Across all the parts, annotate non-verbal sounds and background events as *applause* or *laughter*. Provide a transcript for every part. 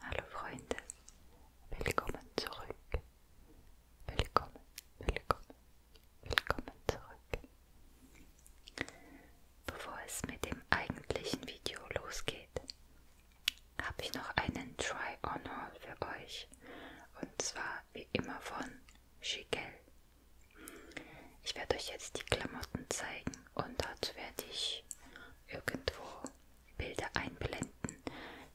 Hallo Freunde, willkommen zurück. Willkommen, willkommen, willkommen zurück. Bevor es mit dem eigentlichen Video losgeht, habe ich noch einen Try-on-Haul für euch. Und zwar wie immer von Shigel. Ich werde euch jetzt die Klamotten zeigen und dazu werde ich irgendwo Bilder einblenden,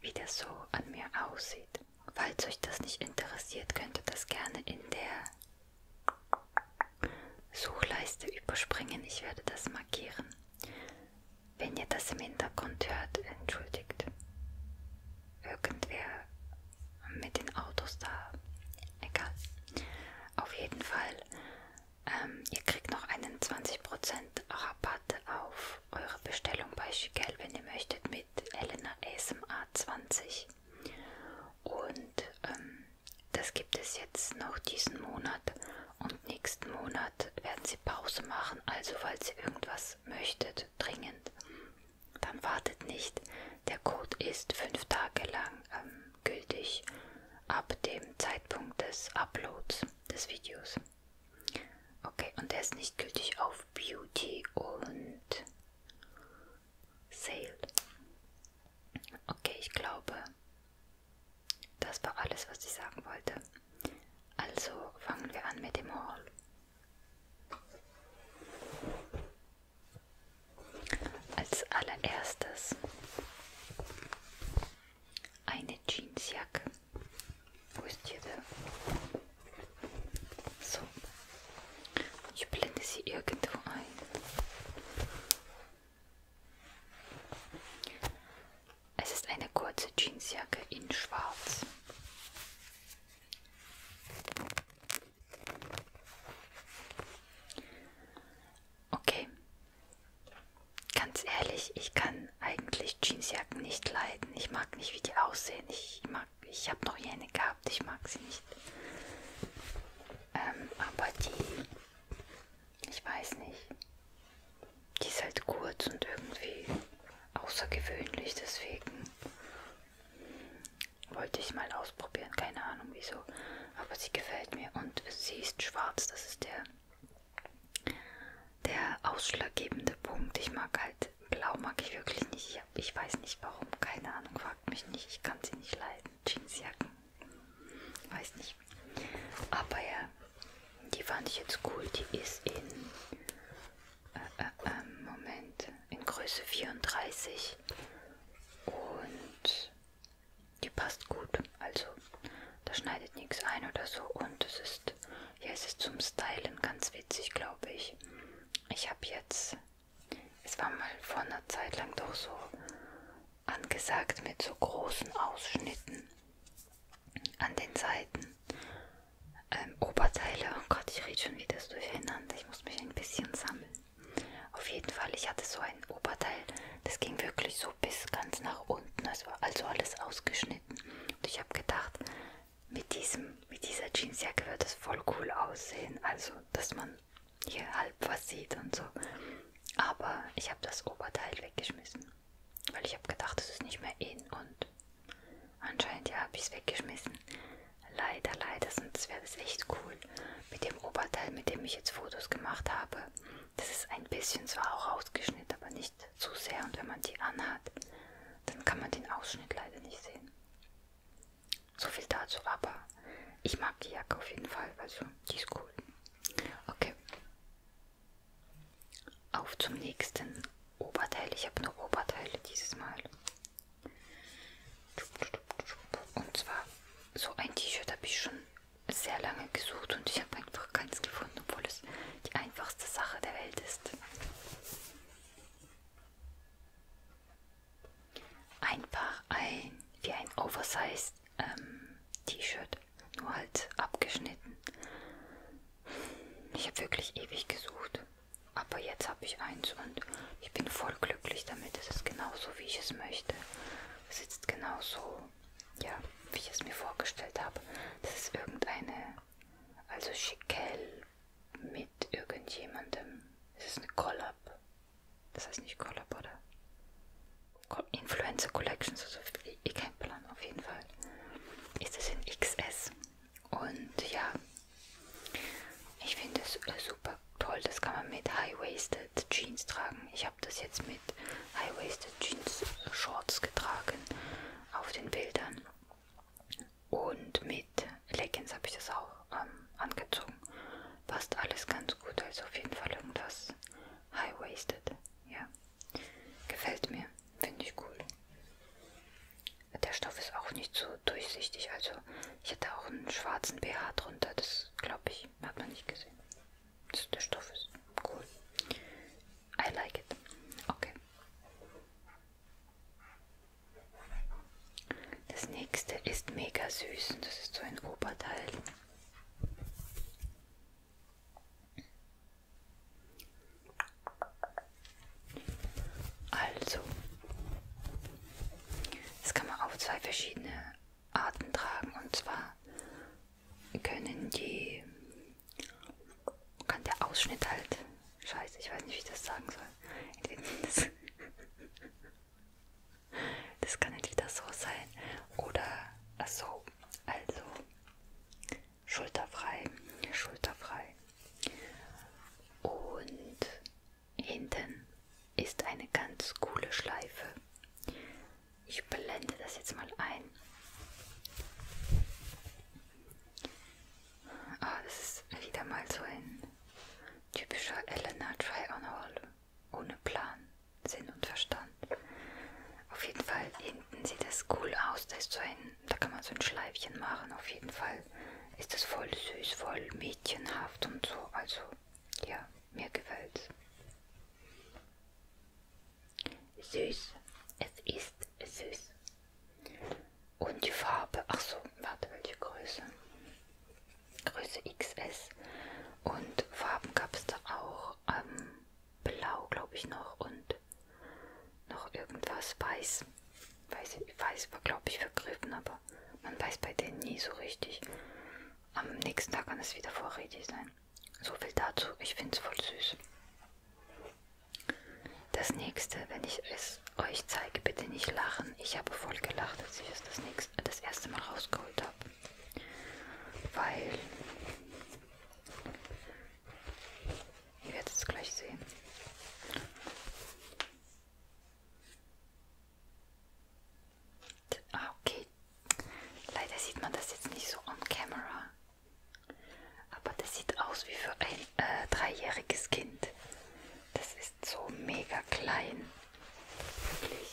wie das so an mir aussieht. Falls euch das nicht interessiert, könnt ihr das gerne in der Suchleiste überspringen. Ich werde das markieren. Wenn ihr das im Hintergrund hört, entschuldigt. Irgendwer mit den Autos da. Egal. Auf jeden Fall ähm, ihr kriegt noch einen 20% Rabatt auf eure Bestellung bei Schickel, wenn ihr möchtet, mit Elena SMA 20. Und ähm, das gibt es jetzt noch diesen Monat und nächsten Monat werden sie Pause machen. Also falls ihr irgendwas möchtet, dringend, dann wartet nicht. Der Code ist fünf Tage lang ähm, gültig ab dem Zeitpunkt des Uploads des Videos. Okay, und der ist nicht gültig auf Beauty und Sale. Okay, ich glaube, das war alles, was ich sagen wollte. Also fangen wir an mit dem Haul. Als allererstes eine Jeansjacke. Wo ist die denn? So. Ich blende sie irgendwo ein. Es ist eine kurze Jeansjacke in Schwarz. Okay. Ganz ehrlich, ich kann eigentlich Jeansjacken nicht leiden. Ich mag nicht, wie die aussehen. Ich mag, ich habe noch jene gehabt. Ich mag sie nicht. Ähm, aber die, ich weiß nicht. Die ist halt kurz und irgendwie außergewöhnlich. Deswegen wollte ich mal ausprobieren, keine Ahnung wieso. Aber sie gefällt mir und sie ist schwarz, das ist der, der ausschlaggebende Punkt. Ich mag halt, blau mag ich wirklich nicht. Ich, hab, ich weiß nicht warum, keine Ahnung, fragt mich nicht. Ich kann sie nicht leiden. Jeansjacken, weiß nicht. Aber ja, die fand ich jetzt cool. Die ist in, äh, äh, ähm, Moment, in Größe 34. Und die passt gut, also da schneidet nichts ein oder so. Und es ist, ja, es ist zum Stylen ganz witzig, glaube ich. Ich habe jetzt, es war mal vor einer Zeit lang doch so angesagt mit so großen Ausschnitten an den Seiten. Ähm, Oberteile, oh Gott, ich rede schon wieder durcheinander. Ich muss mich ein bisschen sammeln. Auf jeden Fall, ich hatte so ein Oberteil, das ging wirklich so bis ganz nach unten, es war also alles ausgeschnitten. Und ich habe gedacht, mit, diesem, mit dieser Jeansjacke wird es voll cool aussehen, also dass man hier halb was sieht und so. Aber ich habe das Oberteil weggeschmissen, weil ich habe gedacht, es ist nicht mehr in und anscheinend ja habe ich es weggeschmissen. Leider, leider, sonst wäre das echt cool mit dem Oberteil, mit dem ich jetzt Fotos gemacht habe. Das ist ein bisschen zwar auch ausgeschnitten, aber nicht zu sehr. Und wenn man die anhat, dann kann man den Ausschnitt leider nicht sehen. So viel dazu, aber ich mag die Jacke auf jeden Fall, also die ist cool. Okay. Auf zum nächsten Oberteil. Ich habe nur Oberteile dieses Mal. Und zwar so ein T-Shirt habe ich schon sehr lange gesucht und ich habe einfach keins gefunden, obwohl es die einfachste Sache der Welt ist. Ein Paar ein wie ein Oversized ähm, T-Shirt, nur halt abgeschnitten. Ich habe wirklich ewig gesucht, aber jetzt habe ich eins und ich bin voll glücklich damit. Es ist genauso, wie ich es möchte sitzt genau so, ja, wie ich es mir vorgestellt habe. Das ist irgendeine, also Schickel mit irgendjemandem. Es ist eine Collab. Das heißt nicht Collab, oder? Influencer Collections, also ich kein Plan, auf jeden Fall. Ist es in XS. Und ja, ich finde es super toll. Das kann man mit High Waisted High-Waisted Jeans tragen. Ich habe das jetzt mit High-Waisted Jeans äh, Shorts getragen auf den Bildern. Und mit Leggings habe ich das auch ähm, angezogen. Passt alles ganz gut, also auf jeden Fall irgendwas High-Waisted. Ja, gefällt mir, finde ich cool. Der Stoff ist auch nicht so durchsichtig, also ich hatte auch einen schwarzen BH drunter, das glaube ich, hat man nicht gesehen. Das, der Stoff ist cool. I like it. Okay. Das nächste ist mega süß. Das ist so ein Oberteil. Also, das kann man auf zwei verschiedene Arten tragen. Und zwar können die, kann der Ausschnitt halt, scheiße, ich weiß nicht, wie ich das sagen soll. Das, das kann entweder halt so sein oder ach so, also schulterfrei, schulterfrei. Und Hinten ist eine ganz coole Schleife. Ich blende das jetzt mal ein. Oh, das ist wieder mal so ein typischer Elena Try-on-Haul. Ohne Plan, Sinn und Verstand. Auf jeden Fall, hinten sieht das cool aus. Da, ist so ein, da kann man so ein Schleifchen machen. Auf jeden Fall ist das voll süß, voll mädchenhaft und so. Also, ja. Mir gefällt's. Süß. Es ist süß. Und die Farbe. Ach so, warte, welche Größe? Größe XS. Und Farben gab es da auch. Ähm, Blau, glaube ich, noch. Und noch irgendwas. Weiß. Weiß, weiß war, glaube ich, vergriffen, aber man weiß bei denen nie so richtig. Am nächsten Tag kann es wieder vorrätig sein. So viel dazu, ich finde es voll süß. Das nächste, wenn ich es euch zeige, bitte nicht lachen. Ich habe voll gelacht, als ich es das, nächste, das erste Mal rausgeholt habe. Weil, ihr werdet es gleich sehen. Ah, okay, leider sieht man das jetzt nicht so on camera, aber das sieht aus wie für ein äh, dreijähriges Kind. Das ist so mega klein. Wirklich.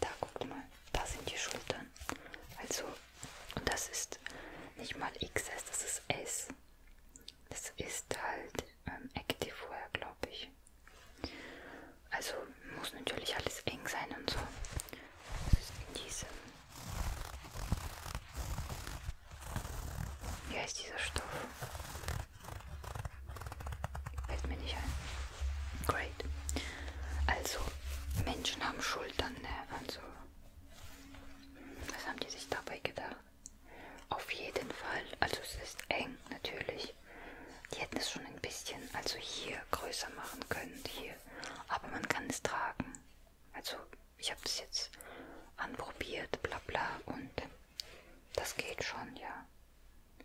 Da guckt mal, da sind die Schultern. Also, und das ist nicht mal XS, das ist S. Das ist halt ähm, Active Wear, glaube ich. Also muss natürlich alles eng sein und so. Das ist in diesem. Wie heißt dieser Stoff? Fällt mir nicht ein. Great. Also, Menschen haben Schultern, ne? Also, was haben die sich dabei gedacht? Auf jeden Fall. Also, es ist eng, natürlich nicht. Die hätten es schon ein bisschen, also hier größer machen können, hier. Aber man kann es tragen. Also ich habe das jetzt anprobiert, bla bla und das geht schon, ja.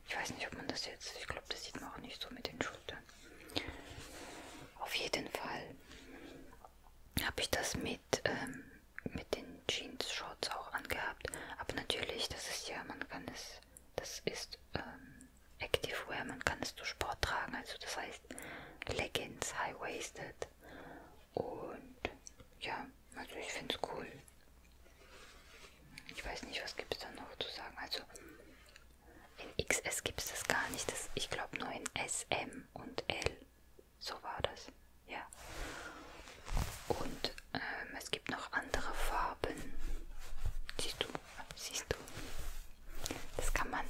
Ich weiß nicht, ob man das jetzt, ich glaube, das sieht man auch nicht so mit den Schultern. Auf jeden Fall habe ich das mit, ähm, mit den Jeans-Shorts auch angehabt. Aber natürlich, das ist ja, man kann es, das ist ähm, Active Wear, man kann es zu Sport tragen. Also das heißt Leggings, High-Waisted. Und ja, also ich finde es cool. Ich weiß nicht, was gibt es da noch zu sagen. Also in XS gibt es das gar nicht. Das, ich glaube nur in S, M und L. So war das. Ja. Und ähm, es gibt noch andere Farben. Siehst du? Siehst du? Das kann man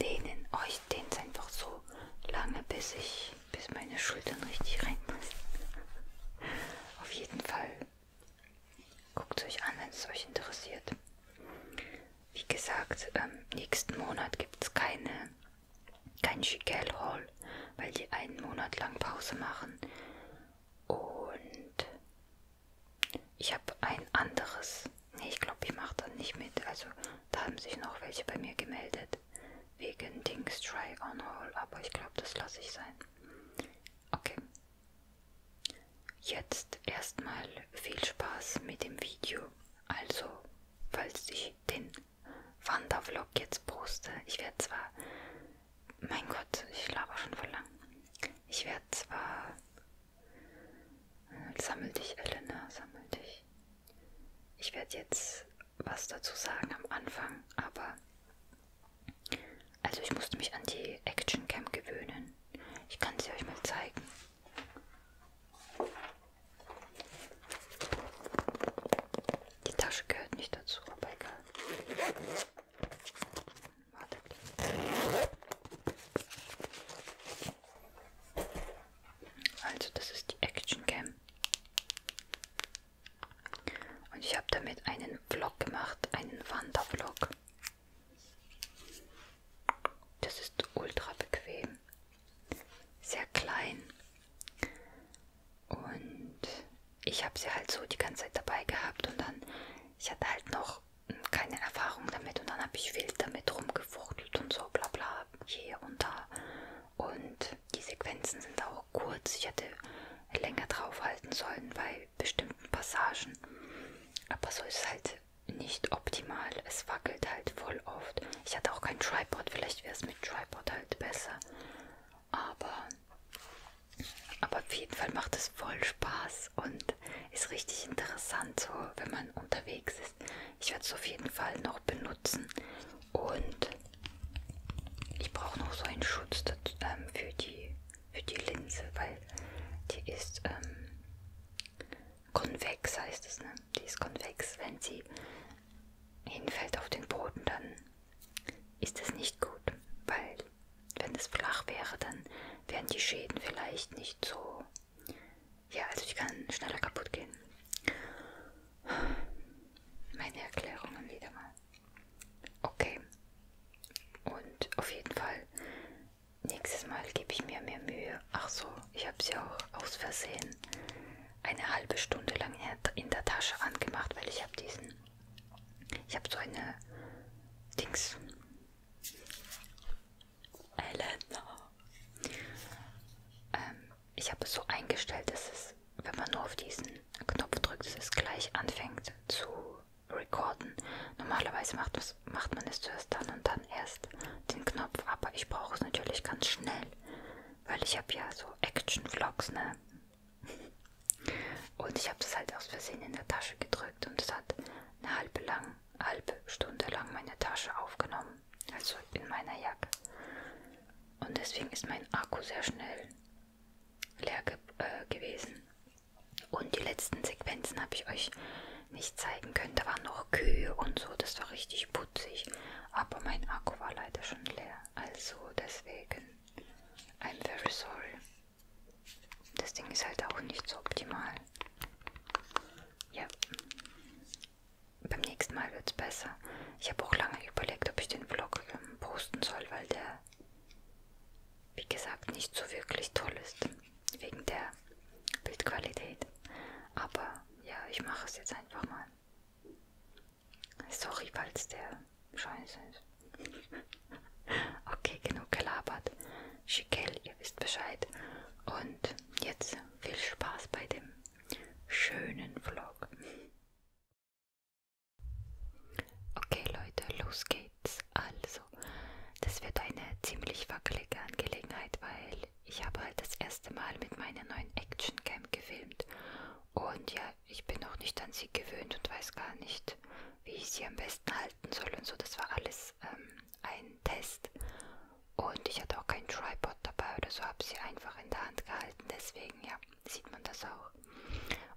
dehnen. Oh, ich dehne es einfach so lange, bis ich, bis meine Schultern richtig reinpassen. Auf jeden Fall. Guckt es euch an, wenn es euch interessiert. Wie gesagt, ähm, nächsten Monat gibt es keine, kein Schickel Hall, weil die einen Monat lang Pause machen. Und ich habe ein anderes. Nee, ich glaube, ich mache da nicht mit. Also da haben sich noch welche bei mir gemeldet. Wegen Dings Try On Haul. Aber ich glaube, das lasse ich sein. Okay. Jetzt erstmal viel Spaß mit dem Video. Also, falls ich den Wandervlog jetzt poste, ich werde zwar mein Gott, ich laber schon voll lang. Ich werde zwar. Äh, sammel dich, Elena, sammel dich. Ich werde jetzt was dazu sagen am Anfang, aber. Also, ich musste mich an die Action Cam gewöhnen. Ich kann sie euch mal zeigen. Die Tasche gehört nicht dazu, aber egal. Warte. Also das ist die Action Cam. Und ich habe damit einen Vlog gemacht, einen Wandervlog. Das ist ultra bequem, sehr klein und ich habe sie halt so die ganze Zeit dabei gehabt und dann, ich hatte halt noch keine Erfahrung damit und dann habe ich wild damit rumgefuchtelt und so bla bla hier und da. Und die Sequenzen sind auch kurz. Ich hätte länger draufhalten sollen bei bestimmten Passagen. Aber so ist es halt nicht optimal. Es wackelt halt voll oft. Ich hatte auch kein Tripod. Vielleicht wäre es mit Tripod halt besser. Aber aber auf jeden Fall macht es voll Spaß und ist richtig interessant, so wenn man unterwegs ist. Ich werde es auf jeden Fall noch benutzen und ich brauche noch so einen Schutz dazu, ähm, für, die, für die Linse, weil die ist ähm, konvex, heißt es, ne? Die ist konvex, wenn sie hinfällt auf den Boden, dann ist es nicht gut, weil wenn es flach wäre, dann wären die Schäden vielleicht nicht so... Ja, also die kann schneller kaputt gehen. Meine Erklärungen wieder mal. Okay. Und auf jeden Fall, nächstes Mal gebe ich mir mehr Mühe. Ach so, ich habe sie auch aus Versehen eine halbe Stunde lang in der Tasche angemacht, weil ich habe diesen ich habe so eine Dings. Elena. Ähm, ich habe es so eingestellt, dass es, wenn man nur auf diesen Knopf drückt, dass es gleich anfängt zu recorden. Normalerweise macht, das, macht man es zuerst dann und dann erst den Knopf, aber ich brauche es natürlich ganz schnell, weil ich habe ja so Action-Vlogs, ne? Und ich habe das halt aus Versehen in der Tasche gedrückt und es hat eine halbe, lang, halbe Stunde lang meine Tasche aufgenommen, also in meiner Jacke. Und deswegen ist mein Akku sehr schnell leer ge äh, gewesen. Und die letzten Sequenzen habe ich euch nicht zeigen können. Da waren noch Kühe und so, das war richtig putzig. Aber mein Akku war leider schon leer. Also deswegen I'm very sorry. Das Ding ist halt auch nicht so optimal. Ja. Beim nächsten Mal wird es besser. Ich habe auch lange überlegt, ob ich den Vlog ähm, posten soll, weil der, wie gesagt, nicht so wirklich toll ist. Wegen der Bildqualität. Aber ja, ich mache es jetzt einfach mal. Sorry, falls der scheiße ist. okay, genug gelabert. Schickel, ihr wisst Bescheid. Und jetzt viel Spaß bei dem schönen Vlog. Okay, Leute, los geht's. Also, das wird eine ziemlich wackelige Angelegenheit, weil ich habe halt das erste Mal mit meiner neuen Actioncam gefilmt. Und ja, ich bin noch nicht an sie gewöhnt und weiß gar nicht, wie ich sie am besten halten soll und so. Das war alles ähm, ein Test. Und ich hatte auch keinen Tripod dabei oder so, habe sie einfach in der Hand gehalten. Deswegen, ja, sieht man das auch.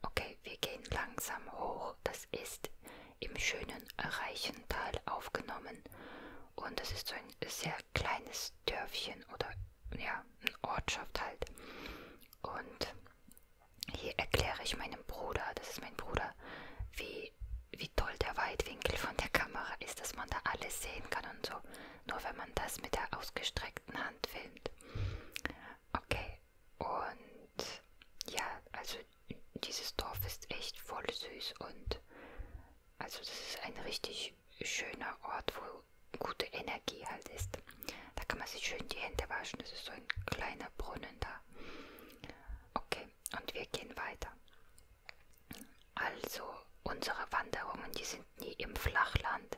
Okay, wir gehen langsam hoch. Das ist im schönen Reichental aufgenommen. Und das ist so ein sehr kleines Dörfchen oder ja, eine Ortschaft halt. Und hier erkläre ich meinem Bruder, das ist mein Bruder, wie, wie toll der Weitwinkel von der Kamera ist, dass man da alles sehen kann und so. Nur wenn man das mit der ausgestreckten Hand filmt. Okay, und ja, also dieses Dorf ist echt voll süß und also das ist ein richtig schöner Ort, wo gute Energie halt ist. Da kann man sich schön die Hände waschen. Das ist so ein kleiner Brunnen da. Okay, und wir gehen weiter. Also unsere Wanderungen, die sind nie im Flachland,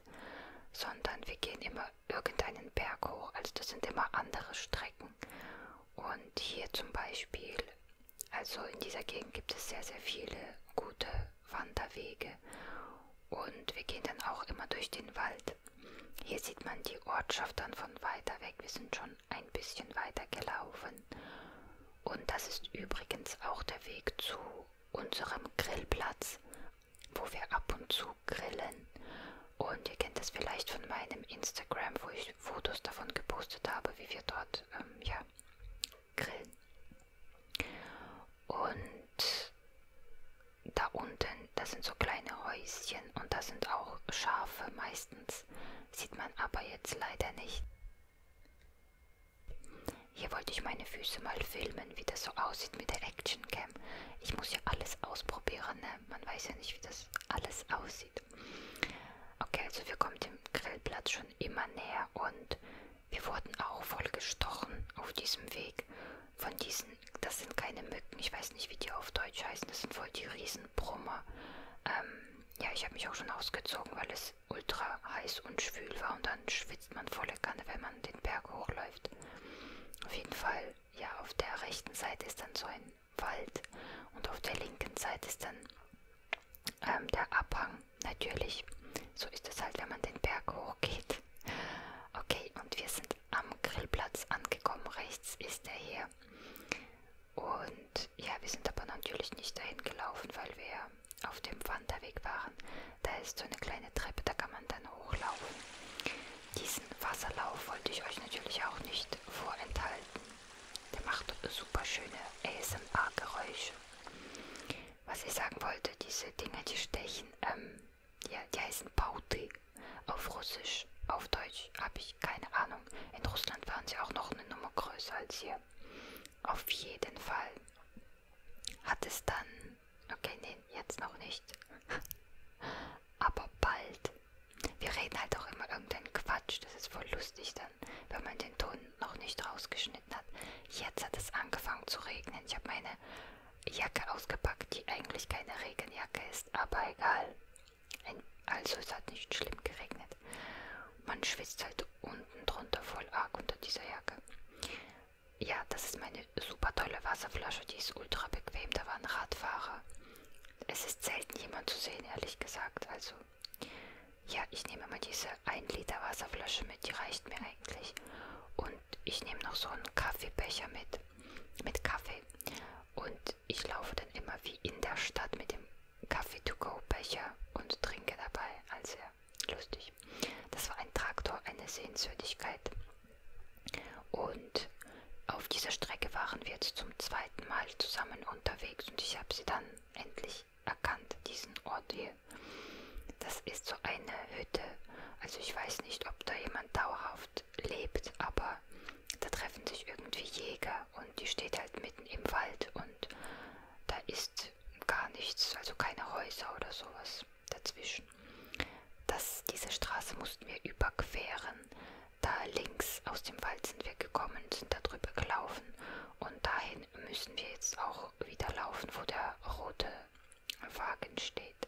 sondern wir gehen immer irgendeinen Berg hoch. Also das sind immer andere Strecken. Und hier zum Beispiel, also in dieser Gegend gibt es sehr, sehr viele gute Wanderwege. Und wir gehen dann auch immer durch den Wald. Hier sieht man die Ortschaft dann von weiter weg. Wir sind schon ein bisschen weiter gelaufen. Und das ist übrigens auch der Weg zu unserem Grillplatz, wo wir ab und zu grillen. Und ihr kennt das vielleicht von meinem Instagram, wo ich Fotos davon gepostet habe, wie wir dort ähm, ja, grillen. Und da unten, das sind so kleine Häuschen und da sind auch Schafe meistens. Sieht man aber jetzt leider nicht. Hier wollte ich meine Füße mal filmen, wie das so aussieht mit der Actioncam. Ich muss ja alles ausprobieren, ne? man weiß ja nicht, wie das alles aussieht. Okay, also wir kommen dem Grillplatz schon immer näher und wir wurden auch voll gestochen auf diesem Weg. Von diesen, das sind keine Mücken, ich weiß nicht, wie die auf Deutsch heißen, das sind wohl die Riesenbrummer. Ähm, ja, ich habe mich auch schon ausgezogen, weil es ultra heiß und schwül war und dann schwitzt man volle Kanne, wenn man den Berg hochläuft. Auf jeden Fall, ja, auf der rechten Seite ist dann so ein Wald und auf der linken Seite ist dann ähm, der Abhang, natürlich. So ist es halt, wenn man den Berg hochgeht. Okay, und wir sind am Grillplatz angekommen. Rechts ist er hier. Und ja, wir sind aber natürlich nicht dahin gelaufen, weil wir auf dem Wanderweg waren. Da ist so eine kleine Treppe, da kann man dann hochlaufen. Diesen Wasserlauf wollte ich euch natürlich auch nicht vorenthalten. Der macht super schöne ASMR-Geräusche. Was ich sagen wollte, diese Dinge, die stechen, ähm, ja, die heißen Pauti auf Russisch, auf Deutsch habe ich keine Ahnung. In Russland waren sie auch noch eine Nummer größer als hier. Auf jeden Fall hat es dann, okay, nee, jetzt noch nicht, *laughs* aber bald. Wir reden halt auch immer irgendeinen Quatsch, das ist voll lustig dann, wenn man den Ton noch nicht rausgeschnitten hat. Jetzt hat es angefangen zu regnen, ich habe meine Jacke ausgepackt, die eigentlich keine Regenjacke ist, aber egal. Ein, also es hat nicht schlimm geregnet. Man schwitzt halt unten drunter voll arg unter dieser Jacke. Ja, das ist meine super tolle Wasserflasche, die ist ultra bequem, da waren Radfahrer. Es ist selten jemand zu sehen, ehrlich gesagt, also... Ja, ich nehme mal diese 1 Liter Wasserflasche mit, die reicht mir eigentlich und ich nehme noch so einen Kaffeebecher mit, mit Kaffee und ich laufe dann immer wie in der Stadt mit dem Kaffee-to-go-Becher und trinke dabei, also ja, lustig. Das war ein Traktor, eine Sehenswürdigkeit und auf dieser Strecke waren wir jetzt zum zweiten Mal zusammen unterwegs und ich habe sie dann endlich erkannt, diesen Ort hier. Das ist so eine Hütte. Also ich weiß nicht, ob da jemand dauerhaft lebt, aber da treffen sich irgendwie Jäger und die steht halt mitten im Wald und da ist gar nichts, also keine Häuser oder sowas dazwischen. Das, diese Straße mussten wir überqueren. Da links aus dem Wald sind wir gekommen, sind da drüber gelaufen und dahin müssen wir jetzt auch wieder laufen, wo der rote Wagen steht.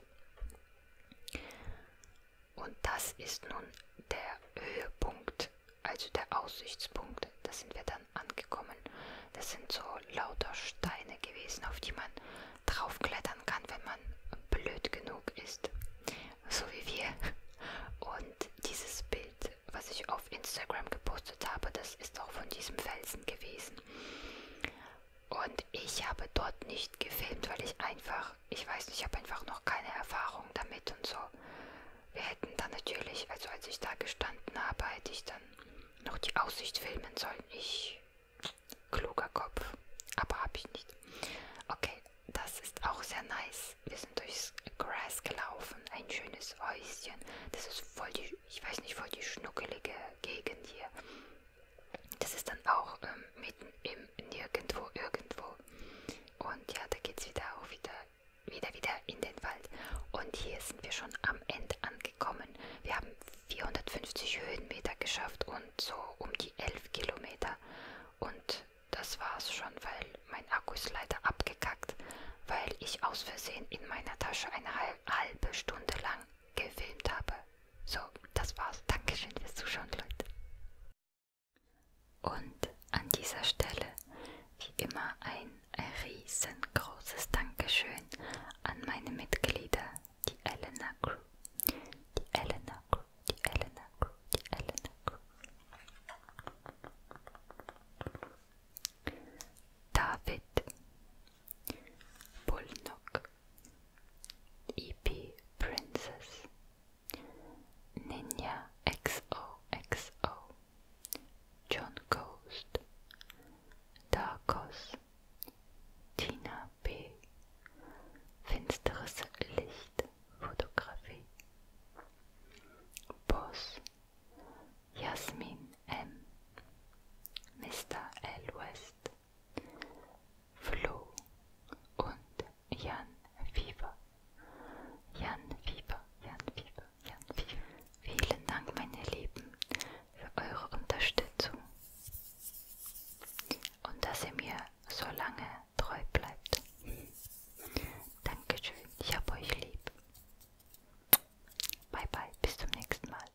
Und das ist nun der Höhepunkt, also der Aussichtspunkt. Da sind wir dann angekommen. Das sind so lauter Steine gewesen, auf die man draufklettern kann, wenn man blöd genug ist. So wie wir. Und dieses Bild, was ich auf Instagram gepostet habe, das ist auch von diesem Felsen gewesen. Und ich habe dort nicht gefilmt, weil ich einfach, ich weiß nicht, ich habe einfach noch keine Erfahrung damit und so. Wir hätten dann natürlich, also als ich da gestanden habe, hätte ich dann noch die Aussicht filmen sollen. Ich, kluger Kopf, aber habe ich nicht. Okay, das ist auch sehr nice. Wir sind durchs Grass gelaufen, ein schönes Häuschen. Das ist voll die, ich weiß nicht, voll die schnuckelige Gegend hier. Das ist dann auch ähm, mitten im Nirgendwo, irgendwo. Und ja, da geht's wieder auch wieder, wieder, wieder in den Wald. Und hier sind wir schon am Ende angekommen. Wir haben 450 Höhenmeter geschafft und so um die 11 Kilometer. Und das war's schon, weil mein Akku ist leider abgekackt, weil ich aus Versehen in meiner Tasche eine halbe Stunde lang gefilmt habe. So, das war's. Dankeschön fürs Zuschauen, Leute. Und an dieser Stelle, wie immer, ein riesengroßes Dankeschön an meine Mitglieder, die Elena Crew. Die Elena Crew, die Elena Crew, die Elena Crew. David Bullnock. EP Princess, Ninja XOXO, John Ghost, Darkos, Tina B, Finsteres Licht, Fotografie, Boss, Jasmin M, Mr. L. West, Flo und Jan Fieber. Jan Fieber, Jan Fieber, Jan Fieber. Vielen Dank, meine Lieben, für eure Unterstützung und dass ihr mir so lange treu bleibt. Dankeschön, ich hab euch lieb. Bye bye, bis zum nächsten Mal.